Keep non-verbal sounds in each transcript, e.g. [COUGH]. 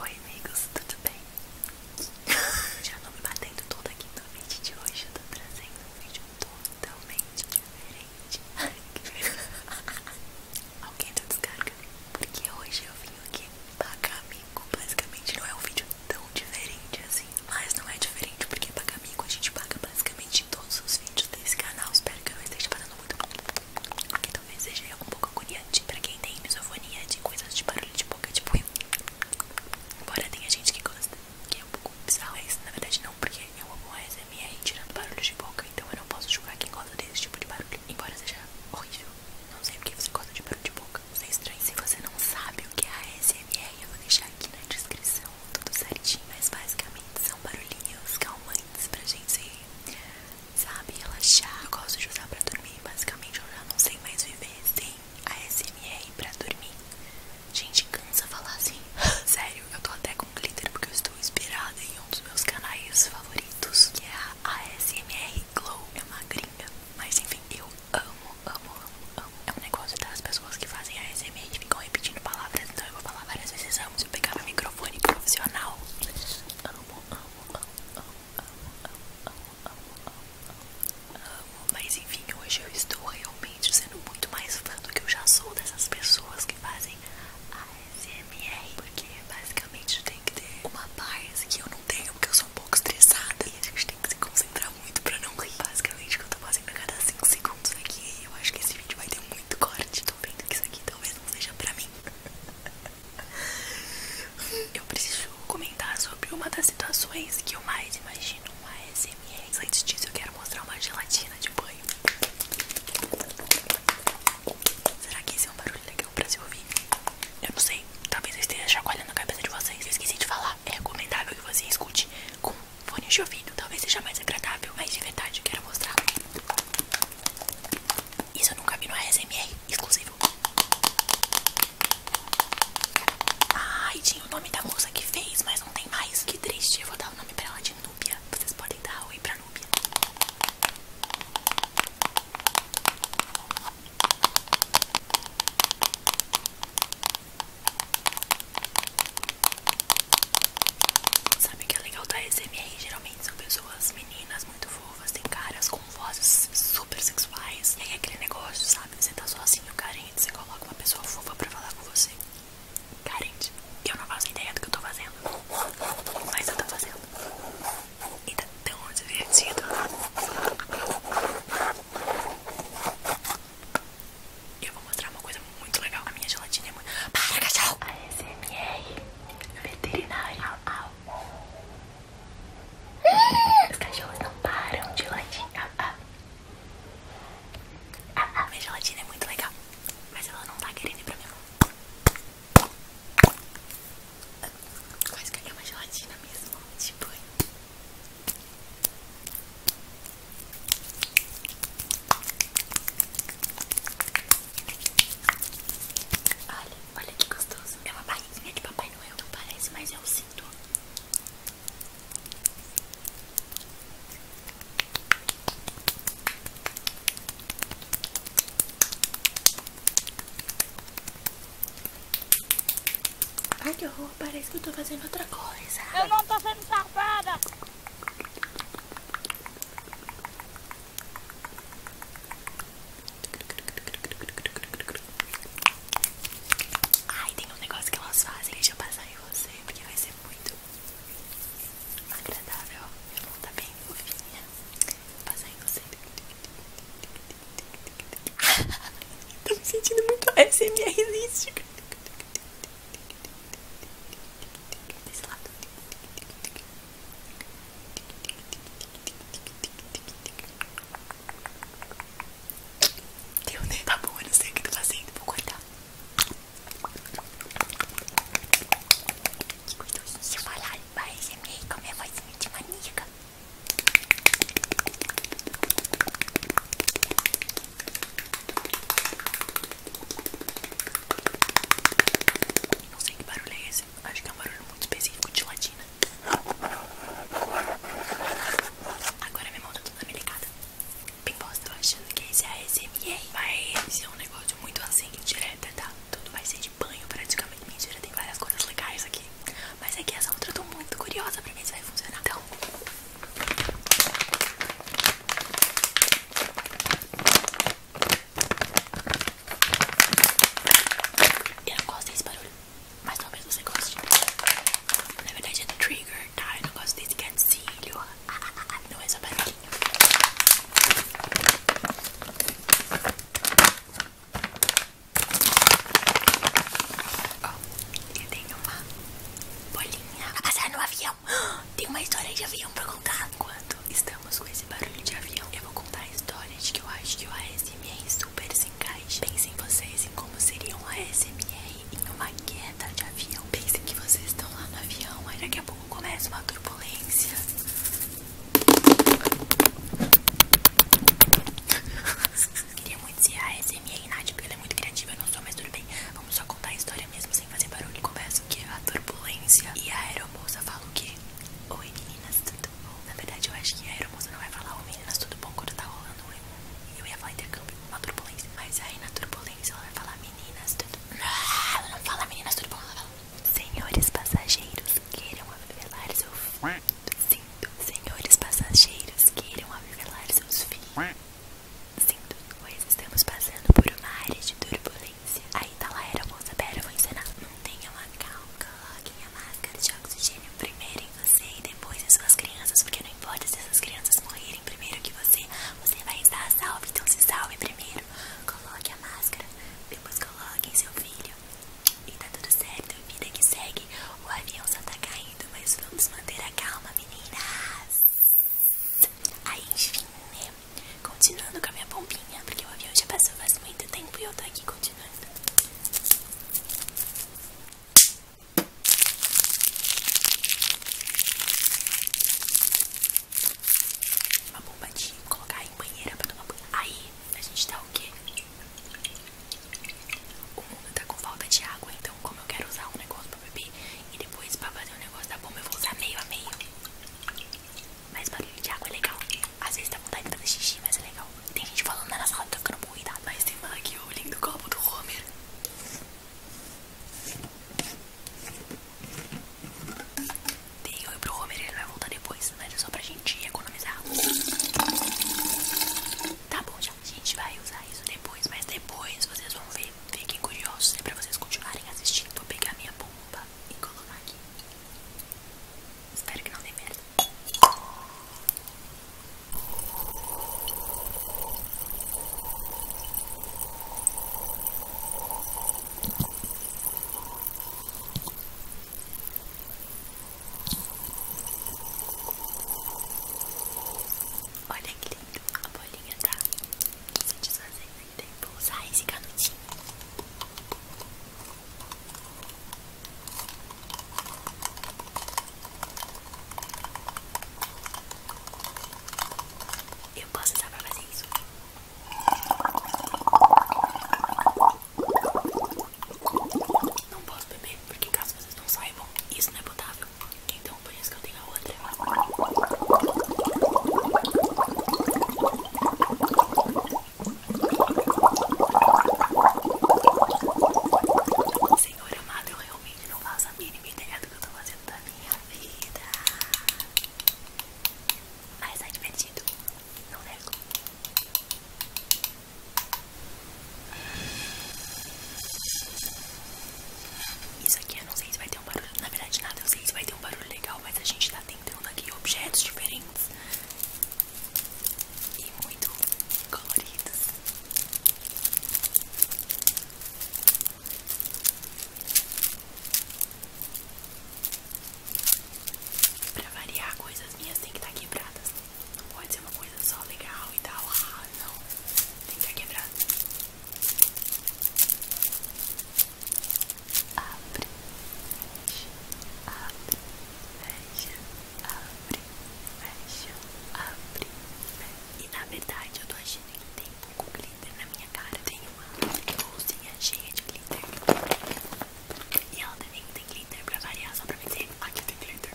Oi amigos, tudo bem? [LAUGHS] Já não me batendo toda aqui no vídeo de hoje, eu tô trazendo um vídeo totalmente diferente [LAUGHS] Alguém deu tá descarga? Porque hoje eu vim aqui pagar amigo? basicamente não é um vídeo tão diferente assim Mas não é diferente porque pagar amigo a gente paga basicamente todos os vídeos desse canal Espero que eu esteja parando muito Aqui tá talvez seja um pouco agoniante pra quem tem misofonia de coisas de barulho de boca, tipo eu. Embora tenha gente que gosta, que é um pouco bizarro, isso na verdade não, porque eu amo a SMR tirando barulhos de boca, então eu não posso julgar quem gosta desse tipo de barulho, embora seja horrível. Não sei porque você gosta de barulho de boca, isso é estranho. Se você não sabe o que é a SMR, eu vou deixar aqui na descrição tudo certinho, mas basicamente são barulhinhos calmantes pra gente sabe, relaxar. Eu gosto de usar pra dormir, basicamente eu já não sei mais viver sem ASMR SMR pra dormir. Gente, cansa falar assim. [LAUGHS] Sério, eu tô até com glitter porque eu estou inspirada em um dos meus canais favoritos, que é a ASMR Glow. É uma gringa, mas enfim, eu amo, amo, amo, amo. É um negócio das pessoas que fazem ASMR que ficam repetindo palavras, então eu vou falar várias vezes amo. Se eu pegar meu microfone profissional, amo, amo, amo, amo amo, amo, amo, amo. Mas enfim, hoje eu estou realmente sendo muito mais fã do que eu já sou dessas pessoas que fazem ASMR. Porque basicamente tem que ter uma paz que eu não tenho, porque eu sou um pouco estressada. E a gente tem que se concentrar muito pra não rir. Basicamente, o que eu tô fazendo a cada 5 segundos aqui. Eu acho que esse vídeo vai ter muito corte. Tô vendo que isso aqui talvez não seja pra mim. [LAUGHS] Eu preciso comentar sobre uma das situações que eu mais imagino uma SMR. Antes disso, eu quero mostrar uma gelatina de banho. Será que esse é um barulho legal pra se ouvir? Eu não sei. Talvez eu esteja chacoalhando a cabeça de vocês. Eu esqueci de falar. É recomendável que você escute com fone de ouvido. Talvez seja mais agradável, mas de verdade eu quero mostrar. Isso eu nunca vi no ASMR, exclusivo. Ai, tinha o nome da moça que fez, mas não tem mais. Que triste, eu vou dar o nome pra ela de Núbia. Vocês podem dar oi pra Núbia. Sabe o que é legal da ASMR? Geralmente são pessoas meninas muito fofas, tem caras com vozes super sexuais. E aí é aquele negócio, sabe? Você tá sozinho, carente, você coloca uma pessoa fofa pra falar com você. Carente. Eu não faço ideia do que eu tô fazendo. Mas eu tô fazendo. E tá tão divertido. Eu vou mostrar uma coisa muito legal. A minha gelatina é muito. Para, cachorro! A SMR Veterinário. Os cachorros não param de latir. A Minha gelatina é muito legal, mas ela não tá querendo ir pra minha mão. Quase que é uma gelatina mesmo, tipo... Olha, olha que gostoso. É uma barriguinha de Papai Noel, não parece, mas eu sinto. Ai que horror, parece que eu tô fazendo outra coisa. Eu não tô sendo safada. Ai, tem um negócio que elas fazem, deixa eu passar em você, porque vai ser muito agradável. Minha mão tá bem fofinha. Vou passar em você. [LAUGHS] Tô me sentindo muito SMR Desse Desse lado. Deu, né? Tá bom, eu não sei o que tô fazendo, vou cortar. Que gostosinho falar, parece meio com a minha voz muito maníaca. Não sei que barulho é esse, acho que é um barulho muito específico de latina. Agora minha mão tá toda melecada. Bem bosta, tô achando que esse é a mas esse é um negócio muito assim, direta, tá? Tudo vai ser de banho praticamente. Mentira, tem várias coisas legais aqui. Mas é que essa outra eu tô muito curiosa pra ver se vai funcionar. Então. Eu não gosto desse barulho, mas talvez você goste. Na verdade é trigger, tá? Eu não gosto desse gatilho. Ah, [LAUGHS] não é só barulhinho. Ó, oh, eu tenho uma bolinha. É a Passar no avião. [GASPS] Tem uma história de avião pra contar. Enquanto estamos com esse barulho de avião, eu vou contar a história de que eu acho que o ASMR super se encaixa. Pensem vocês em como seria um ASMR em uma queda de avião. Pensem que vocês estão lá no avião, aí daqui a pouco começa uma turbulência. [LAUGHS] Queria muito ser a ASMR, Nath, porque ela é muito criativa, eu não sou, mas tudo bem. Vamos só contar a história mesmo sem fazer barulho. Confesso que a turbulência e a aeromoça fala o que Oi meninas, tudo bom? Na verdade eu acho que a aeromoça não vai falar Oi meninas, tudo bom quando tá rolando um... Eu ia falar intercâmbio, uma turbulência Mas aí na turbulência ela vai falar meninas, tudo ah, Ela não fala meninas, tudo bom, Senhores passageiros, queiram avivelar seus filhos Sinto Senhores passageiros, queiram avivelar seus filhos Sim, dois estamos passando por uma área de turbulência. Aí tá lá, era moça, pera, eu vou não tenha uma calma, coloquem a máscara de oxigênio primeiro em você e depois em suas crianças, porque não importa se essas crianças morrerem primeiro que você, você vai estar salvo, então se salve primeiro. Coloque a máscara, depois coloque seu filho. E tá tudo certo, vida que segue. O avião só tá caindo, mas vamos manter a calma, meninas. Aí enfim, né? Continuando com a minha pompinha, porque o avião já passou faz muito tempo e eu tô aqui continuando. Uma bomba de colocar em banheira pra tomar banho. Aí a gente tá o que O mundo tá com falta de água, então como eu quero usar um negócio e depois pra fazer um negócio da bomba eu vou usar meio a meio. Mas barulho de água é legal. Às vezes dá vontade de fazer xixi, mas é legal. Tem gente falando na sala, tô ficando cuidado, mas tem lá aqui o link do copo do Homer. Tem eu pro Homer, ele vai voltar depois, mas é só pra gente economizar. Tá bom, já. A gente vai usar isso depois, mas depois vocês vão ver que fiquem curiosos é pra vocês continuarem assistindo. Vou pegar minha bomba e colocar aqui. Espero que não dê merda. Olha que lindo, a bolinha tá se desfazendo Vou usar esse canutinho. Eu posso usar pra fazer isso. Não posso beber, porque caso vocês não saibam, isso não é potável. Então por isso que eu tenho a outra. Senhor amado, eu realmente não faço a mínima ideia do que eu tô fazendo da minha vida. Mas é divertido, não nego. Isso aqui eu não sei se vai ter um barulho, na verdade nada, eu sei se vai ter um barulho legal, mas a gente tá tentando aqui objetos diferentes e muito coloridos. Pra variar, coisas minhas tem que estar tá quebradas. Não pode ser uma coisa só legal e tal. Ah, não. Tem que estar tá quebrada. Abre, fecha, abre, fecha, abre, fecha, abre, E na verdade eu tô achando que tem um pouco de glitter na minha cara. Tem uma bolsinha cheia é de glitter. E ela também tem glitter pra variar, só pra dizer, aqui tem glitter.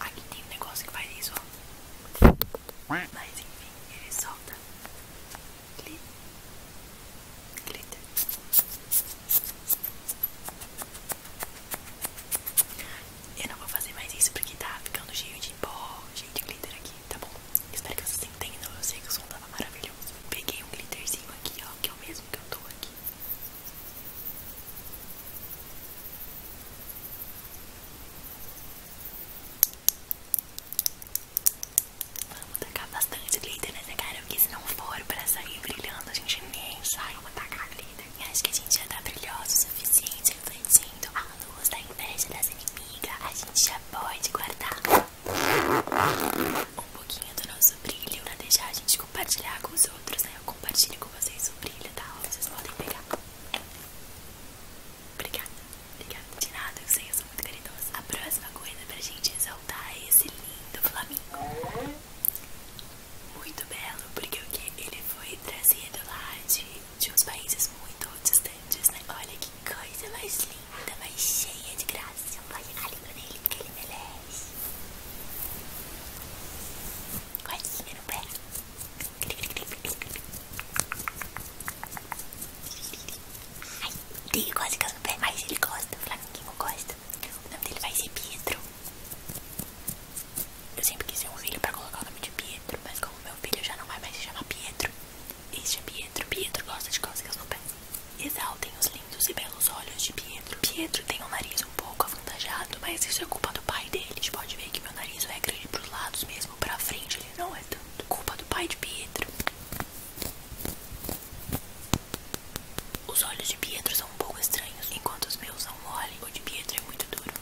Aqui tem um negócio que faz isso, ó. Mas enfim, ele solta. Glitter. Eu não vou fazer mais isso porque tá ficando cheio de pó, cheio de glitter aqui, tá bom? Espero que vocês entendam. Eu sei que o som tava maravilhoso. Peguei um glitterzinho aqui, ó, que é o mesmo que eu tô aqui. Vamos tacar bastante glitter nessa cara, porque se não for pra sair brilhando, a gente nem sai. Vamos tacar glitter. E acho que a gente já tá brilhoso o suficiente, refletindo a luz da inveja das inimigas. A gente já pode guardar um pouquinho do nosso brilho pra deixar a gente compartilhar com os outros, né? Eu compartilho com vocês o brilho, tá? Vocês podem pegar. Obrigada, obrigada. De nada, eu sei, eu sou muito caridosa. A próxima coisa pra gente exaltar é esse lindo flamingo. Muito belo, porque o que ele foi trazido lá de, de uns países muito distantes, né? Olha que coisa mais linda linda, mas cheia de graça. Vai a língua nele porque ele merece. Coisinha no pé. Ai, ele quase casa no pé, mas ele gosta. O Flaminguinho gosta. O nome dele vai ser Pietro. Eu sempre quis ter um filho pra colocar o nome de Pietro, mas como meu filho já não vai mais se chamar Pietro, este é Pietro. Pietro gosta de cócegas no pé. Exaltem os lindos e belos olhos de Pietro. Pietro tem um nariz um pouco avantajado, mas isso é culpa do pai dele. A gente pode ver que meu nariz é grande pros lados, mesmo pra frente ele não é tanto. Culpa do pai de Pietro. Os olhos de Pietro são um pouco estranhos, enquanto os meus são mole, o de Pietro é muito duro.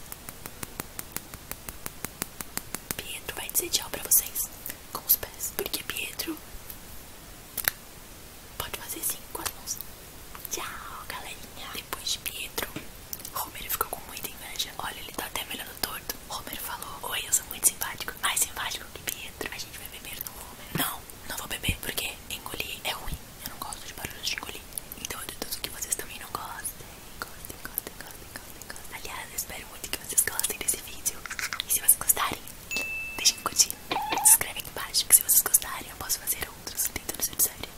Pietro vai dizer tchau pra vocês com os pés, porque Pietro pode fazer assim com as mãos. Tchau, galerinha. Depois de Pietro, Romero ficou com muita inveja. Olha, ele tá até melhor do torto. Romero falou: Oi, eu sou muito simpático. Mais simpático que Pietro. A gente vai beber no Romero. Não, não vou beber porque engolir é ruim. Eu não gosto de barulho de engolir. Então eu deduzo que vocês também não gostem. Gostem, gostem, gostem, gostem, Aliás, eu espero muito que vocês gostem desse vídeo. E se vocês gostarem, Deixem curtir, se inscreve aqui embaixo, que se vocês gostarem eu posso fazer outros não tem dentro dessa série.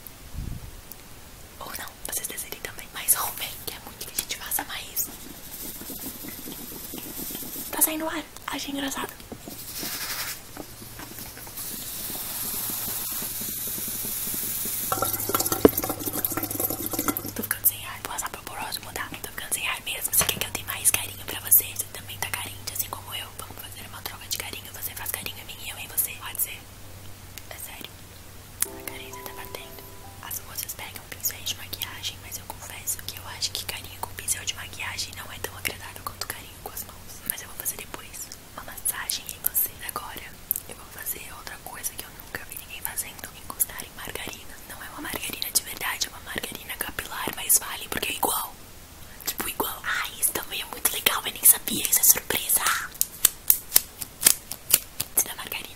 Ou não, vocês desejem também. Mas Homer, que é muito que a gente faça mais. Tá saindo ar, achei engraçado. Tô ficando sem ar vou passar pro próximo, mudar tá? Tô ficando mesmo. Você quer que eu dê mais carinho pra você? Você também tá carente, assim como eu. Vamos fazer uma troca de carinho. Você faz carinho em mim e eu em você. Pode ser? É sério. A carência tá batendo. As moças pegam pincéis de maquiagem, mas eu confesso que eu acho que carinho com pincel de maquiagem não é tão agradável quanto carinho com as mãos. Mas eu vou fazer depois uma massagem em você. Agora eu vou fazer outra coisa que eu nunca vi ninguém fazendo: encostar margarina. Não é uma margarina de verdade, é uma margarina capilar, mas vale porque é igual. Tipo, igual. Ai, isso também é muito legal, eu nem sabia. Isso é surpresa. Isso da margarina.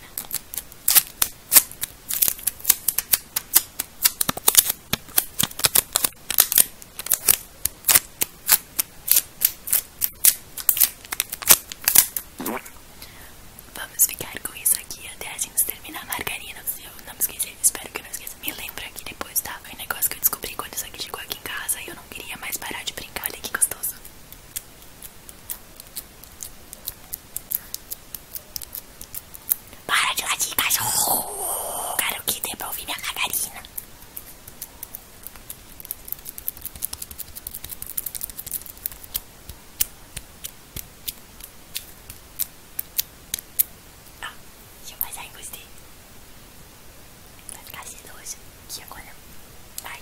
Vamos ficar com isso aqui até a gente terminar a margarina. Se eu não me esquecer, espero que eu não esqueça. Me lembra que depois, tá? Foi um negócio que eu descobri quando isso aqui chegou aqui em casa e eu não queria mais parar de brincar. Olha que gostoso. Para de latir, cachorro! Quero que dê pra ouvir minha margarina. Ah, deixa eu passar em gostei. Vai ficar sedoso, que agora vai.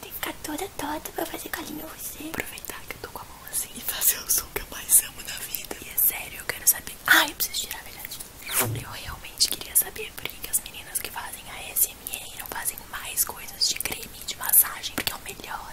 Tem que ficar toda torta pra fazer carinho em você. Aproveitar que eu tô com a mão assim e fazer o som que eu mais amo na vida. E é sério, eu quero saber. Ah, eu preciso tirar a verdade. Eu realmente queria saber por que as meninas que fazem a SMR não fazem mais coisas de creme de massagem, porque é o melhor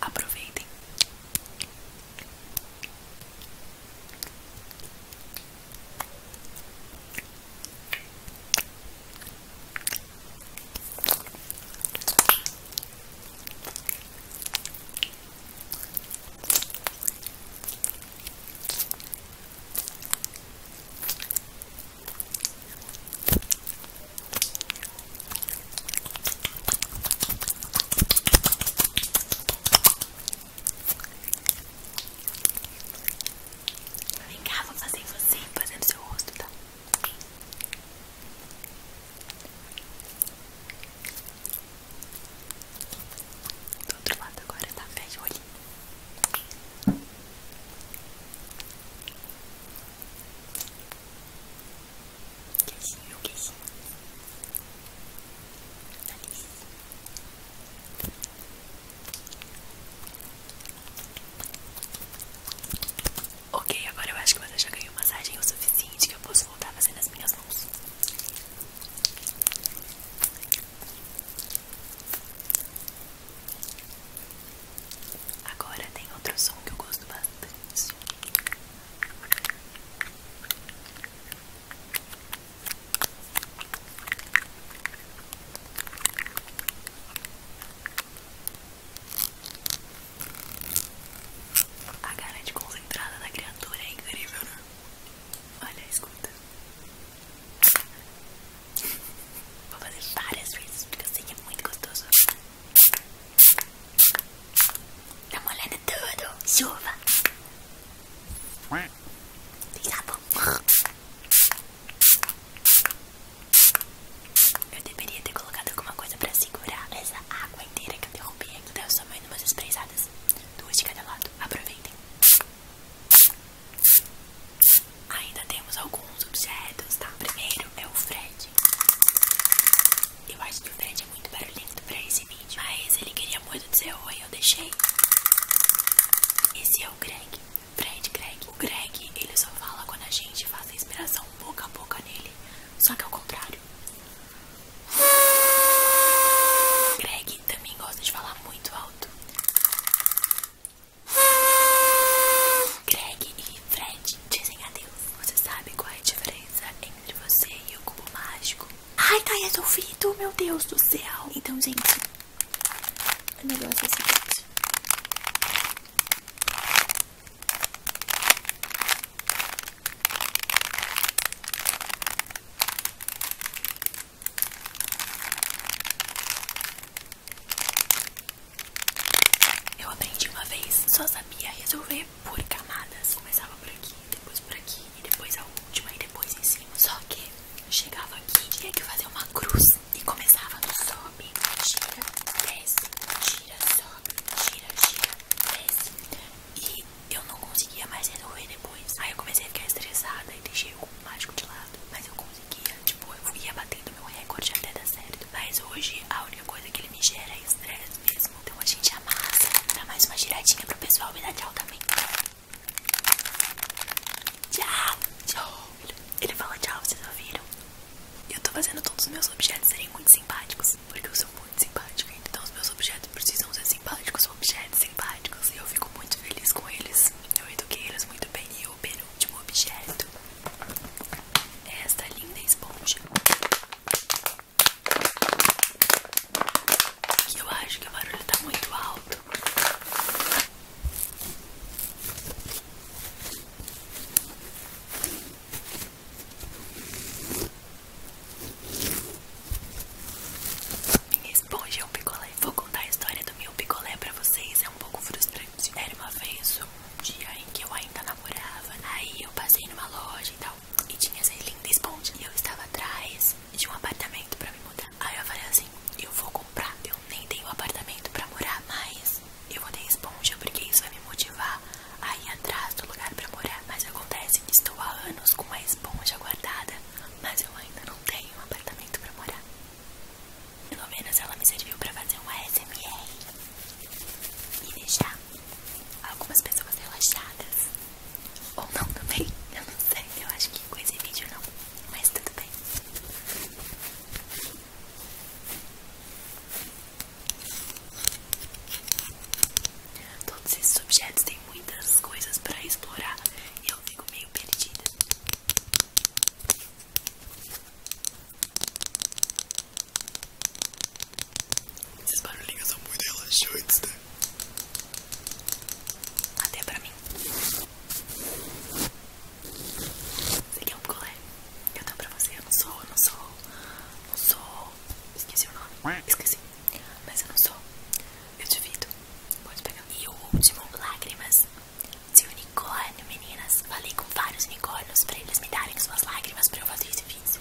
Aproveitem. Vem cá, vou fazer você, fazer no seu rosto, tá? Do outro lado agora, tá? Fecha de olhinho. Queijinho, queijinho. Delícia. Ok, agora eu acho que você já ganhou massagem o suficiente que eu posso voltar fazendo as minhas mãos. Agora tem outro som que eu gosto bastante. A cara de concentrada da criatura é incrível, né? Olha, escuta. Vou fazer várias vezes porque eu sei que é muito gostoso. Tá molhando tudo. Chuva. Tem sabão. Eu deveria ter colocado alguma coisa pra segurar essa água inteira que eu derrubei aqui. Deu somente umas esprezadas. Duas de cada lado. Aproveitem. Ainda temos alguns objetos, tá? Primeiro é o Fred. Eu acho que o Fred é muito barulhento pra esse vídeo, mas ele queria muito dizer oi, eu deixei. Esse é o Greg, Fred Greg. O Greg, ele só fala quando a gente faz a inspiração boca a boca nele, só que ao contrário. Greg, também gosta de falar muito alto. Greg e Fred dizem adeus. Você sabe qual é a diferença entre você e o cubo mágico? Ai, tá resolvido, é meu Deus do céu. Então, gente, o negócio é o seguinte. Eu aprendi uma vez, só sabia resolver por camadas. Começava por aqui, depois por aqui, e depois a última, e depois em cima. Só que chegava aqui, tinha que fazer uma cruz e começava no sobe, gira, desce, gira, sobe, gira, gira, desce. E eu não conseguia mais resolver depois. Aí eu comecei a ficar estressada e deixei o mágico de lado. Mas eu conseguia, tipo, eu ia batendo meu recorde até dar certo. Mas hoje a única coisa que ele me gera é estresse mesmo. Então a gente amassa. Dá mais uma giradinha pro pessoal me dar tchau também. Tchau, tchau. Ele fala tchau, vocês ouviram? Eu tô fazendo todos os meus objetos serem muito simpáticos. Porque eu sou muito simpática. Então os meus objetos precisam ser simpáticos objetos simpáticos e eu fico muito feliz com eles. Eu eduquei eles muito bem. E o penúltimo objeto é esta linda esponja. eu acho que o barulho tá muito alto. Minha esponja é um picolé. Vou contar a história do meu picolé pra vocês. É um pouco frustrante. Era uma vez, um dia em que eu ainda namorava. Aí eu passei numa loja e tal. E tinha essa linda esponja. E eu estava atrás de um apartamento pra me mudar. Aí eu falei assim: eu vou comprar. Eu nem tenho apartamento pra morar, mas eu vou ter esponja porque isso vai me motivar a ir atrás do lugar pra morar. Mas acontece que estou há anos com uma esponja guardada mas eu ainda não tenho um apartamento pra morar. Pelo menos ela me serviu pra fazer um ASMR e deixar algumas pessoas relaxadas. Ou não também, [LAUGHS] eu não sei, eu acho que com esse vídeo não, mas tudo bem. Todos esses objetos têm muitas coisas para explorar e eu fico meio perdida. Esses barulhinhos são muito relaxantes, né? Até pra mim. Esse aqui é um picolé. Eu dou pra você. Eu não sou, eu não sou. Não sou. Esqueci o nome. Esqueci. Mas eu não sou. Eu duvido. Pode pegar. E o último, lágrimas de unicórnio, meninas. Falei com vários unicórnios pra eles me darem suas lágrimas pra eu fazer esse vídeo.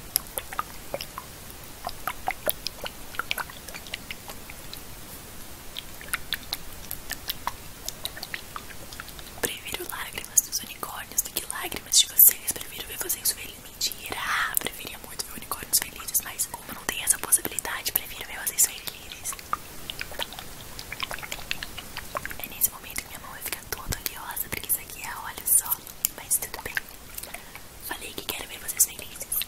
Prefiro lágrimas dos unicórnios do que lágrimas de vocês. Prefiro ver vocês felizes dele. Mentira! Ah, preferia muito ver unicórnios felizes, mas como não tem essa possibilidade, prefiro ver vocês felizes. É nesse momento que minha mão vai ficar toda oleosa, porque isso aqui é olha só. Mas tudo bem. Falei que quero ver vocês felizes.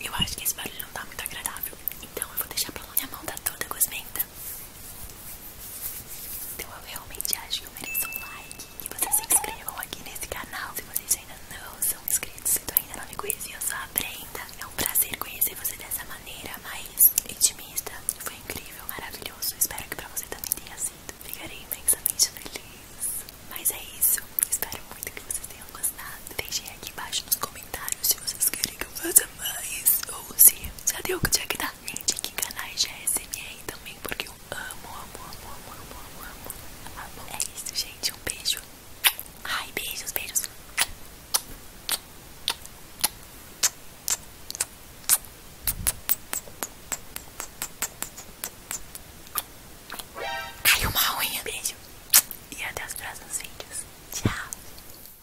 Eu acho que esse barulho não tá muito agradável, então eu vou deixar pra lá. Minha mão tá toda gosmenta, então eu realmente acho que eu mereço um like. Que vocês se inscrevam aqui nesse canal. Se vocês ainda não são inscritos, se ainda não me conhecia, eu sou a Brenda. É um prazer conhecer você dessa maneira mais intimista. Foi incrível, maravilhoso. Espero que pra você também tenha sido. Ficarei imensamente feliz. Mas é isso. Espero muito que vocês tenham gostado. Deixem aqui embaixo nos comentários se vocês querem que mais ou se já deu que tinha que dar. que canais já é ASMR também, porque eu amo, amo, amo, amo, amo, amo, amo. É isso, gente. Um beijo. Ai, beijos, beijos. Caiu uma unha. Beijo. E até os próximos vídeos. Tchau.